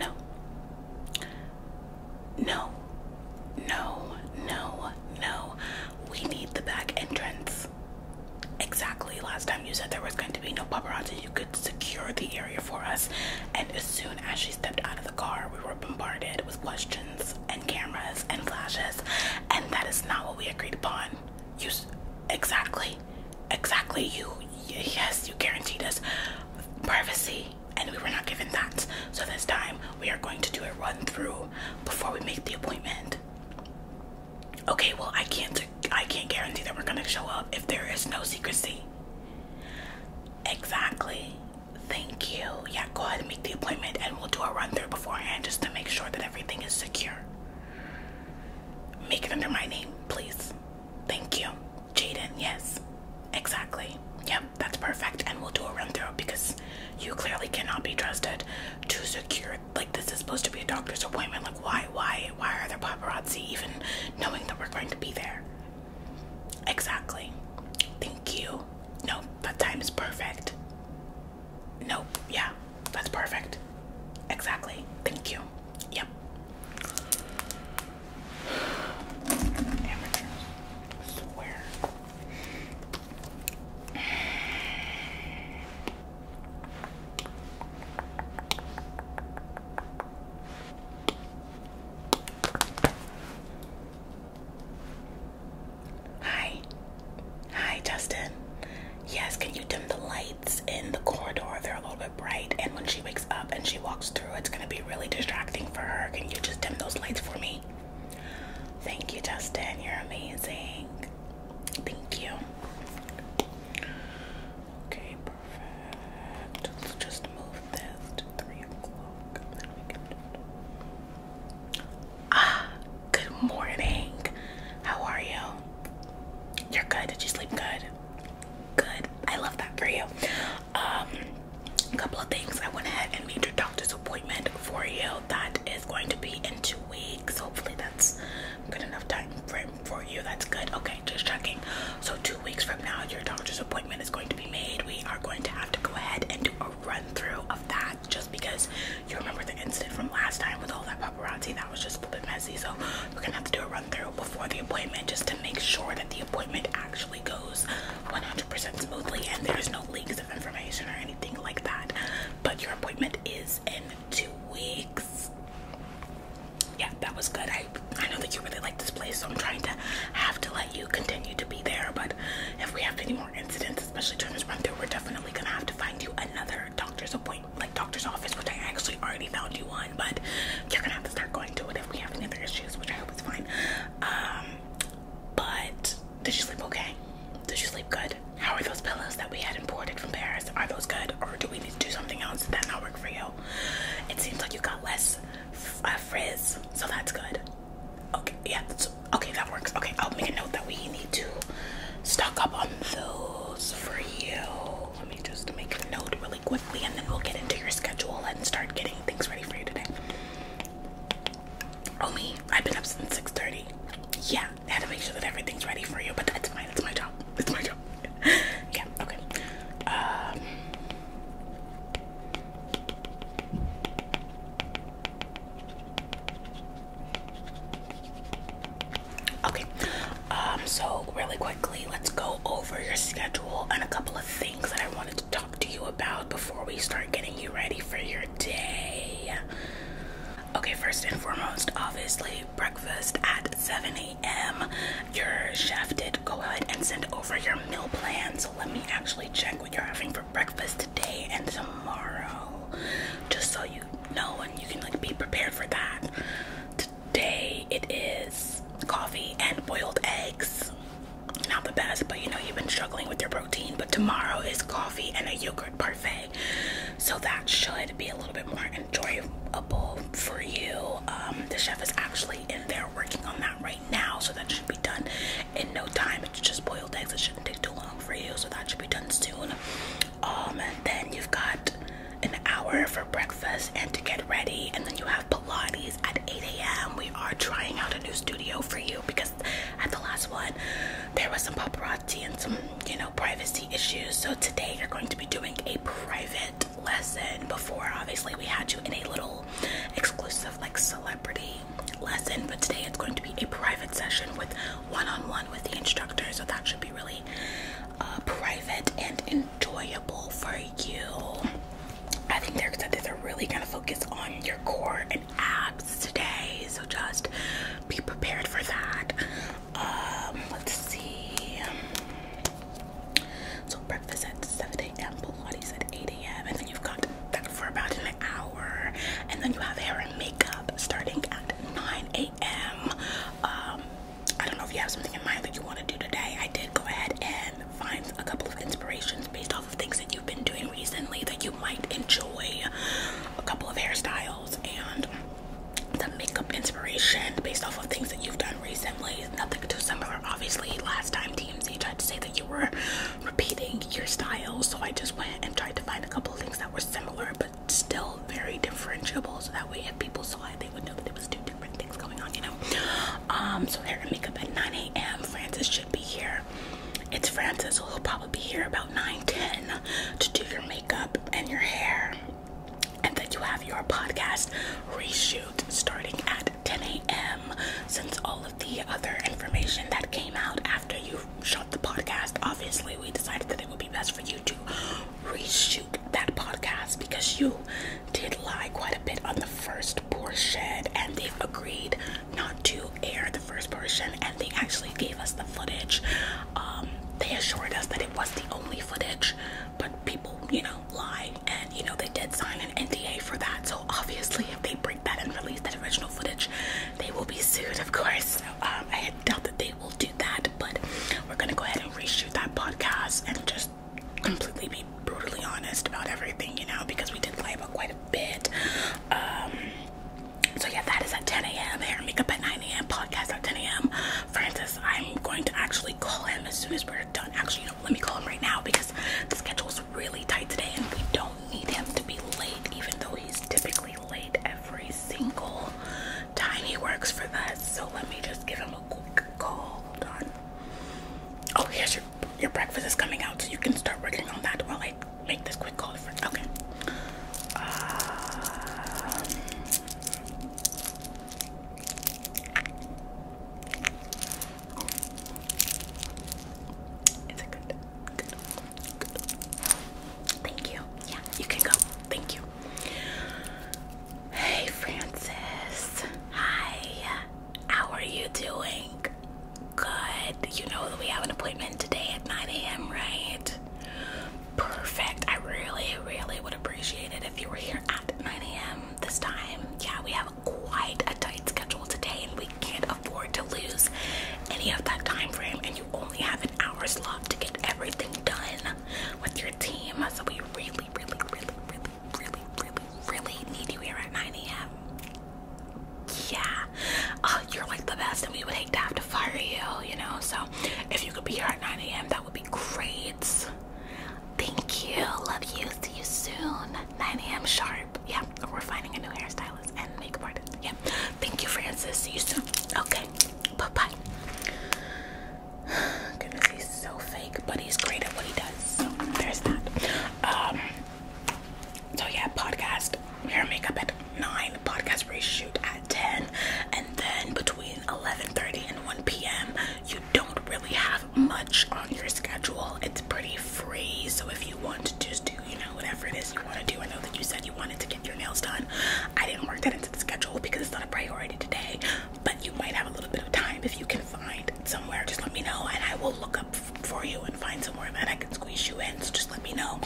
No. No. No. No. No. We need the back entrance. Exactly. Last time you said there was going to be no paparazzi, you could secure the area for us. And as soon as she stepped out of the car, we were bombarded with questions and cameras and flashes. And that is not what we agreed upon. You. Exactly exactly you yes you guaranteed us privacy and we were not given that so this time we are going to do a run through before we make the appointment okay well i can't i can't guarantee that we're going to show up if there is no secrecy exactly thank you yeah go ahead and make the appointment and we'll do a run through beforehand just to make sure that everything is secure make it under my name please thank you Jaden, yes. Exactly. Yep, that's perfect. And we'll do a run through because you clearly cannot be trusted to secure like this is supposed to be a doctor's appointment. Like why, why, why are there paparazzi even knowing that we're going to be there? Exactly. Thank you. No, that time is perfect. Nope, yeah, that's perfect. Exactly. Thank you. Yep. Hi. Hi, Justin. Yes, can you dim the lights in the corridor? They're a little bright and when she wakes up and she walks through it's gonna be really distracting for her. Can you just dim those lights for me? Thank you, Justin. You're amazing. Thank you. Okay, perfect. let just move this to three o'clock. Ah, good morning. How are you? You're good. Did you sleep good? Good. I love that for you. a um, couple of things. I went ahead and made your doctor's appointment for you. That is going to be in two weeks. Hopefully, that's good enough time frame for you. That's good. Okay, just checking. So two weeks from now, your doctor's appointment is going to be made. We are going to have to go ahead and do a run through of that, just because you remember the incident from last time with all that paparazzi. That was just a bit messy. So we're gonna have to do a run through before the appointment just to make sure that the appointment actually goes 100% smoothly and there's no leaks of information or anything like that. But your appointment is in two weeks. Yeah, that was good. I I know that you really like this place, so I'm trying to have to let you continue to be there. But if we have any more incidents, especially during this run through, we're definitely gonna have to find you another doctor's appointment like doctor's office, which I actually already found you one, but you're gonna have to start going to it if we have any other issues, which I hope is fine. Um, but did you sleep okay? Did you sleep good? How are those pillows that we had imported from Paris? Are those good, or do we need to do something else? that not work for you? It seems like you got less uh, frizz, so that's good. Okay, yeah, okay, that works. Okay, I'll make a note that we need to stock up on those for you let me just make a note really quickly and then we'll get into your schedule and start getting things ready for you today. Oh me, I've been up since 6.30. Yeah, had to make sure that everything's ready for you, but that's fine, it's my job. It's my job. yeah, okay. Um, Okay, um, so really quickly, let's go over your schedule and a couple of things that I wanted to talk to you about before we start getting you ready for your day. Okay, first and foremost, obviously, breakfast at 7 a.m. Your chef did go ahead and send over your meal plan, so let me actually check what you're having for breakfast today and tomorrow, just so you know and you can like be prepared for that today it is coffee and boiled eggs. Not the best, but you know, you've been struggling with your protein. But tomorrow is coffee and a yogurt parfait. So that should be a little bit more enjoyable for you. Um, the chef is actually in there working on that right now. So that should be done in no time. It's just boiled eggs. It shouldn't take too long for you. So that should be done soon. Um, then you've got an hour for breakfast and to get ready, and then you have Pilates at 8 a.m. We are trying out a new studio for you because at the last one there was some paparazzi and some you know privacy issues. So today you're going to be doing a private lesson. Before obviously we had you in a little exclusive like celebrity lesson, but today it's going to be a private session with one -on -one with the instructor. So that should be really uh, private and enjoyable for you. I think they're excited. They're really gonna focus on your core and abs today, so just be prepared for that. Um, let's see. So breakfast at 7 a.m., Pilates at 8 a.m., and then you've got that for about an hour, and then you have hair and makeup starting at 9 a.m. I am. Um, I don't know if you have something in mind that you want to do today. I did go ahead and find a couple of inspirations based off of things that you've been doing recently that you might enjoy. A couple of hairstyles and the makeup inspiration based off of things that you've done recently. Nothing too similar. Obviously, last time TMZ tried to say that you were repeating your style, so I just went and tried to find a couple of things that were similar but still very differentiable so that way if people saw it they would know that there was two different things going on you know um so hair and makeup at 9 a.m francis should be here it's francis so he'll probably be here about 9 10 to do your makeup and your hair and then you have your podcast reshoot starting at 10 a.m since all of the other information that came out after you shot the podcast obviously we decided that it would be best for you to reshoot that podcast because you did lie quite a bit on the first portion and they've agreed not to air the first portion and they actually gave us the footage. Um, they assured us that it was the only footage, but people, you know, lie and you know they did sign an NDA for that. So obviously if they break that and release that original footage, they will be sued, of course. Um, I doubt that they will do that, but we're gonna go ahead and reshoot that podcast and just completely be brutally honest about everything, you know, because we did lie about quite a bit. Um, so yeah, that is at 10 a.m. Hair makeup at 9 a.m. Podcast at 10 a.m. Francis, I'm going to actually call him as soon as we're done. Actually, let me call him right now because the schedule's really tight today, and we don't need him to be late, even though he's typically highlight every single time he works for us. So let me just give him a quick call. Hold on. Oh, here's your your breakfast is coming out, so you can start working on that while I make this quick call. For, okay. is uh, it good? Good. Good. Thank you. Yeah, you can go. Thank you. Hey, Francis. Hi. How are you doing? Good. You know that we have an appointment today at 9 a.m., right? Perfect. I really, really would appreciate it if you were here at 9 a.m. this time. Yeah, we have quite a tight schedule today, and we can't afford to lose any of that time frame. And you only have an hour's left to get everything done with your team. So we really, really, really, really, really, really, really need you here at 9 a.m. Yeah. Uh, you're like the best and we would hate to have to fire you, you know? So if you could be here at 9 a.m., that would be great. Thank you. Love you. See you soon. 9 a.m. sharp. Yeah, we're finding a new hairstyle and makeup artist. Yeah. Thank you, Francis. See you soon. Okay. Bye bye. he's so fake, but he's great at what he does. So there's that. Um. So yeah, podcast hair makeup at nine, podcast reshoot at ten, and then between eleven thirty and one p.m. you don't really have much on your schedule. It's pretty free, so if you want to just do you know, whatever it is you want to do. I know that you said you wanted to get your nails done. I didn't work that into the schedule because it's not a priority today, but you might have a little bit of time if you can find somewhere. Just let me know, and I will look up for you and find somewhere that I can squeeze you in. So just let me know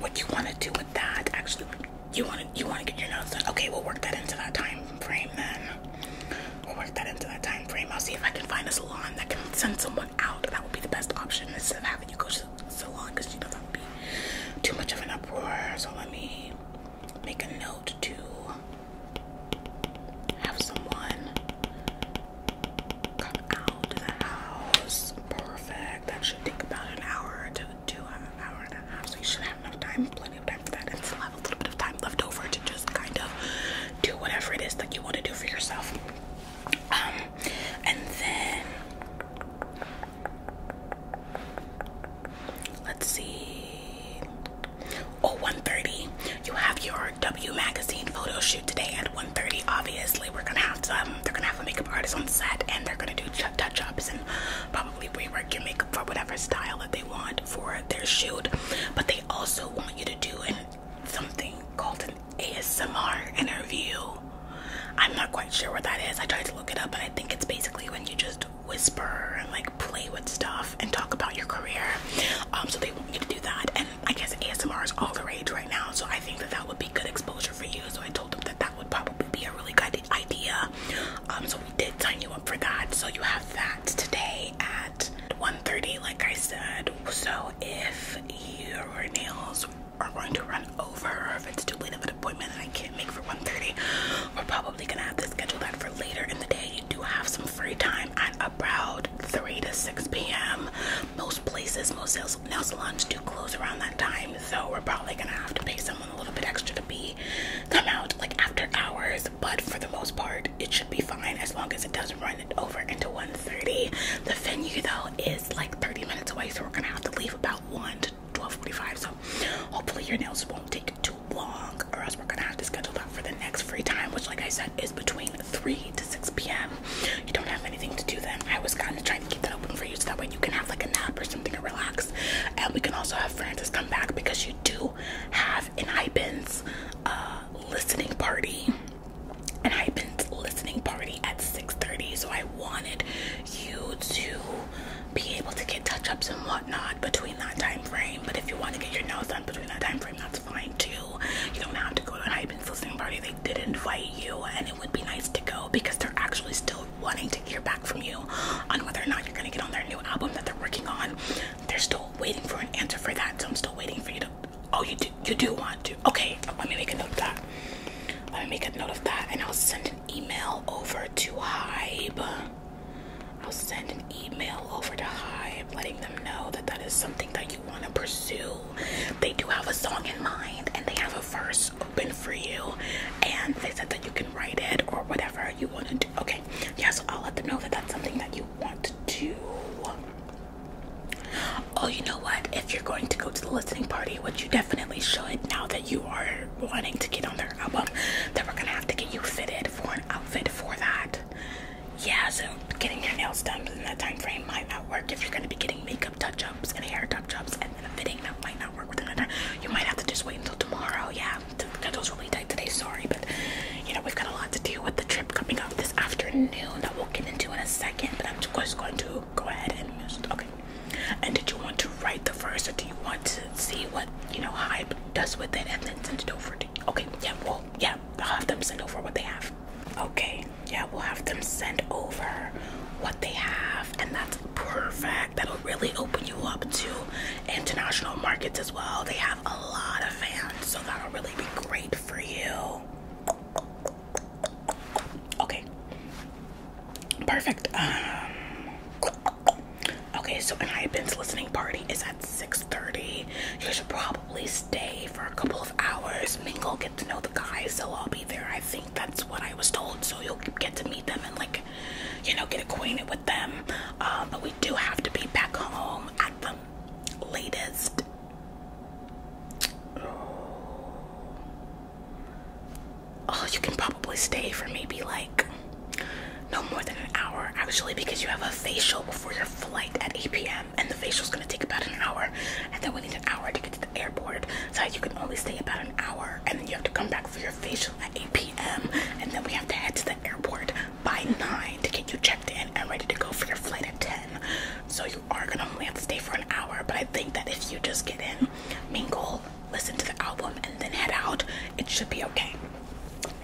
what you want to do with that. Actually, you want to you want to get your nails done. Okay, we'll work that into that time frame then. We'll work that into that time frame. I'll see if I can find a salon that can send someone out. That would be the best option instead of having you go to salon because you do not want to be too much of an uproar. So let me make a note to have someone come out to the house. Perfect. That should take about an hour to do uh, an hour and a half. So you should have enough time, plenty of time for that, and still have a little bit of time left over to just kind of do whatever it is that you want to do for yourself. Um, and then let's see. Oh, 1.30. You have your W magazine photo shoot today at 1.30. Obviously, we're gonna have some. They're gonna have a makeup artist on set, and they're gonna do touch-ups and probably rework your makeup for whatever style that they want for their shoot. But they also want you to do something called an ASMR interview. I'm not quite sure what that is. I tried to look it up, but I think it's basically when you just whisper and like play with stuff and talk about your career. Um, so they want you to do that, and I guess ASMR is all the rage right now. So I think that that would be good exposure for you. So I told them that that would probably be a really good idea. Um, so we did sign you up for that. So you have that today at 1:30, like I said. So if your nails are going to run over or if it's too late of an appointment that I can't make for 1.30, we're probably gonna have to schedule that for later in the day. You do have some free time at about 3 to 6 p.m. Most places, most nail salons do close around that time, so we're probably gonna have to pay someone a little bit extra to be come out like after hours, but for the most part, it should be fine as long as it doesn't run it over into 1.30. The venue though is it's like 30 minutes away, so we're gonna have to leave about 1 to 12:45. So hopefully your nails won't take too long, or else we're gonna have to schedule that for the next free time, which, like I said, is between 3 to 6 p.m. You don't have anything to do then. I was kind of trying to keep that open for you, so that way you can have like a nap or something and relax. And we can also have Francis come back because you do have an Ipens uh, listening party and I've been listening party at 6:30, so I wanted you to be able to get touch-ups and whatnot between that time frame. But if you want to get your nails done between that time frame, that's fine too. You don't have to go to an Hyben's listening party. They did invite you, and it would be nice to go because they're actually still wanting to hear back from you on whether or not you're gonna get on their new album that they're working on. They're still waiting for an answer for that, so I'm still waiting for you to Oh, you do. You do want to. Okay. Let me make a note of that. Let me make a note of that, and I'll send an email over to Hybe. I'll send an email over to Hybe, letting them know that that is something that you want to pursue. They do have a song in mind, and they have a verse open for you, and they said that you can write it or whatever you want to do. Okay. Yeah. So I'll let them know that that's something that you want to do. Oh, you know what? If you're going to go to the listening party, which you definitely should now that you are wanting to get on their album, then we're gonna have to get you fitted for an outfit for that. Yeah, so getting your nails done in that time frame might not work if you're gonna be getting makeup touch-ups and hair touch-ups and then a fitting that might not work with another. You might have to just wait until tomorrow. Yeah, the schedule's really tight today, sorry, but you know, we've got a lot to do with the trip coming up afternoon I will get into in a second, but I'm just going to go ahead and just, okay. And did you want to write the verse, or do you want to see what you know Hype does with it, and then send it over to? You? Okay, yeah, well, yeah, I'll have them send over what they have. Okay, yeah, we'll have them send over what they have, and that's perfect. That'll really open you up to international markets as well. They have a lot of fans, so that'll really be great for you. Okay. Perfect. Um, okay, so an iPens listening party is at 6.30. You should probably stay for a couple of hours, mingle, get to know the guys. They'll all be there. I think that's what I was told. So you'll get to meet them and like, you know, get acquainted with them. Um, but we do have to be back home at the latest Oh, you can probably stay for maybe like no more than an hour actually because you have a facial before your flight at 8 p.m. and the facial is going to take about an hour and then we need an hour to get to the airport so you can only stay about an hour and then you have to come back for your facial at 8 p.m. and then we have to head to the airport by 9 to get you checked checked in and ready to go for your flight at 10. So you are gonna only to stay for an hour, but I think that if you just get in, mingle, listen to the album, and then head out, it should be okay.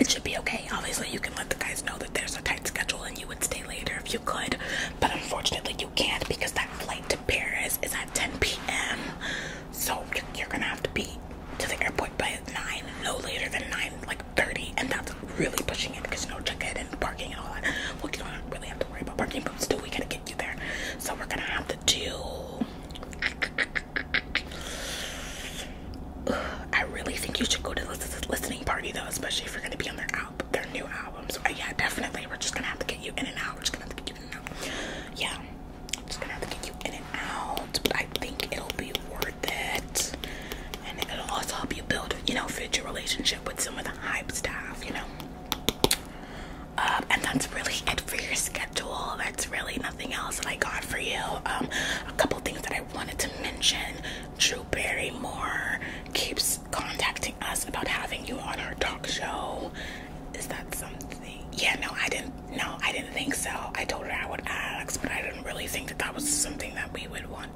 It should be okay. Obviously, you can let the guys know that there's a tight schedule and you would stay later if you could, but unfortunately, you can't because that flight to Paris is at 10 p.m. So you're gonna have to be to the airport by 9, no later than 9, like 30, and that's really pushing it because you know check in and parking and all that. We you don't really have to worry about parking, but still we gotta get you there. So we're gonna have to do. I really think you should go to this listening party though, especially if you're gonna be on their album, their new album. So uh, yeah, definitely. We're just gonna have to get you in and out. We're just gonna have to get you in and out. Yeah, I'm just gonna have to get you in and out. But I think it'll be worth it and it'll also help you build, you know, future relationship with some of the hype staff, you know. Um, and that's really it for your schedule. That's really nothing else that I got for you. Um, a couple things that I wanted to mention. Drew Barrymore keeps contacting us about having you on her talk show. Is that something? Yeah, no, I didn't. No, I didn't think so. I told her I would ask, but I didn't really think that that was something that we would want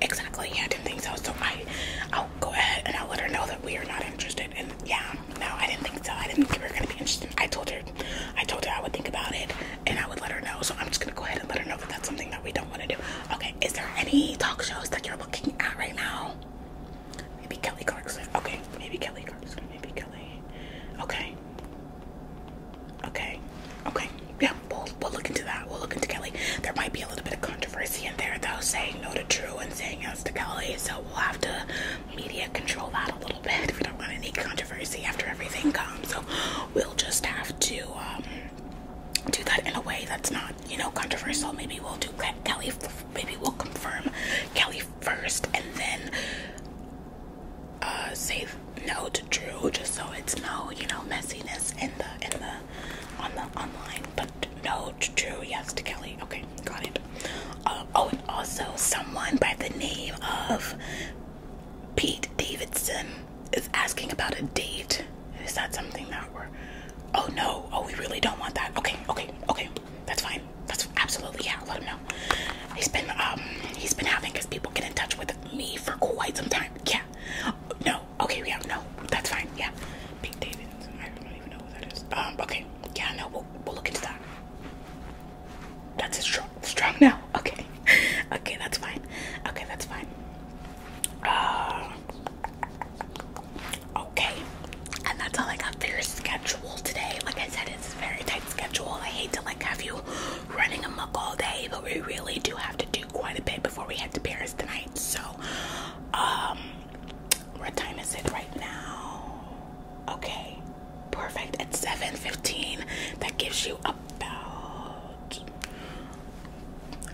Exactly, yeah, I didn't think so. So I, I'll go ahead and I'll let her know that we are not interested. And yeah, no, I didn't think so. I didn't think we were gonna be interested. I told her, I told her I would think about it and I would let her know. So I'm just gonna go ahead and let her know that that's something that we don't want to do. Okay, is there any talk shows that you're looking at right now? Maybe Kelly Clarkson. Okay, maybe Kelly Clarkson. Maybe Kelly. Okay. Okay. Okay, yeah, we'll, we'll look into that. We'll look into Kelly. There might be a little bit of controversy in there, though, saying no to Drew and saying yes to Kelly. So we'll have to media control that a little bit if we don't want any controversy after everything comes. So we'll just have to um, do that in a way that's not, you know, controversial. Maybe we'll do Kelly. Maybe we'll confirm Kelly first and then uh, say no to Drew, just so it's no, you know, messiness in the in the on the online, but no, true, yes to Kelly. Okay, got it. Uh, oh, and also someone by the name of Pete Davidson is asking about a date. Is that something that we're? Oh no! Oh, we really don't want that. Okay, okay, okay. That's fine. That's absolutely yeah. Let him know. He's been um he's been having because people get in touch with me for quite some time. Yeah. No, Okay, we don't That's fine. Yeah. Pete Davidson. I don't even know who that is. Um, okay. Yeah, No. We'll, look into that. That's strong, strong now. Okay. okay, that's fine. Okay, that's fine. Uh, okay. And that's all I got for your schedule today. Like I said, it's a very tight schedule. I hate to like have you running amok all day, but we really do have to quite a bit before we head to Paris tonight. So, um, what time is it right now? Okay, perfect. At 7:15, that gives you about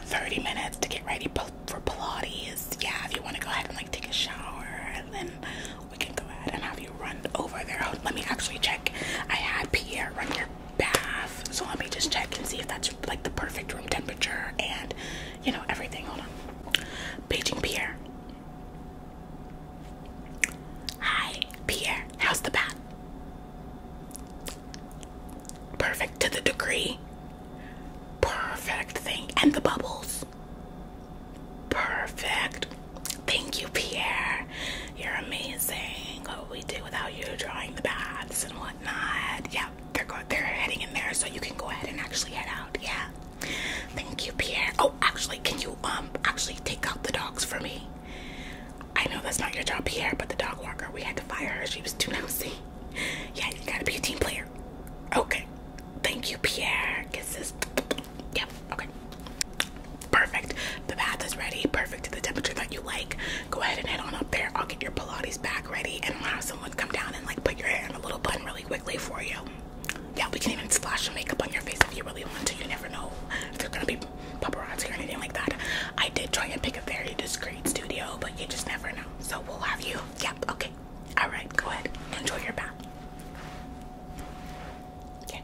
30 minutes to get ready for Pilates. Yeah, if you want to go ahead and like take a shower, and then we can go ahead and have you run over there. Let me actually check. I have Pierre right here bath. So let me just check and see if that's like the perfect room temperature and you know everything. Hold on. Beijing Pierre. Hi, Pierre. How's the bath? Perfect to the degree. Perfect thing. And the bubbles. Perfect. Thank you, Pierre. You're amazing. What would we do without you drawing the baths and whatnot? Yeah, they're go they're heading in there, so you can go ahead and actually head out. Yeah. Thank you, Pierre. Oh, actually, can you um actually take out the dogs for me? I know that's not your job, Pierre, but the dog walker, we had to fire her. She was too nosy. Yeah, you gotta be a team player. Okay. Thank you, Pierre. Kisses. Yep. Okay. Perfect. The bath is ready. Perfect to the temperature that you like. Go ahead and head on up there. I'll get your Pilates bag ready and I'll have someone come down and like put your hair in a little bun really quickly for you. Yeah, we can even splash some makeup on your face if you really want to. You never know if they're gonna be paparazzi or anything like that. I did try and pick a very discreet studio, but you just never know. So we'll have you. Yep, okay. Alright, go ahead. Enjoy your bath. Okay.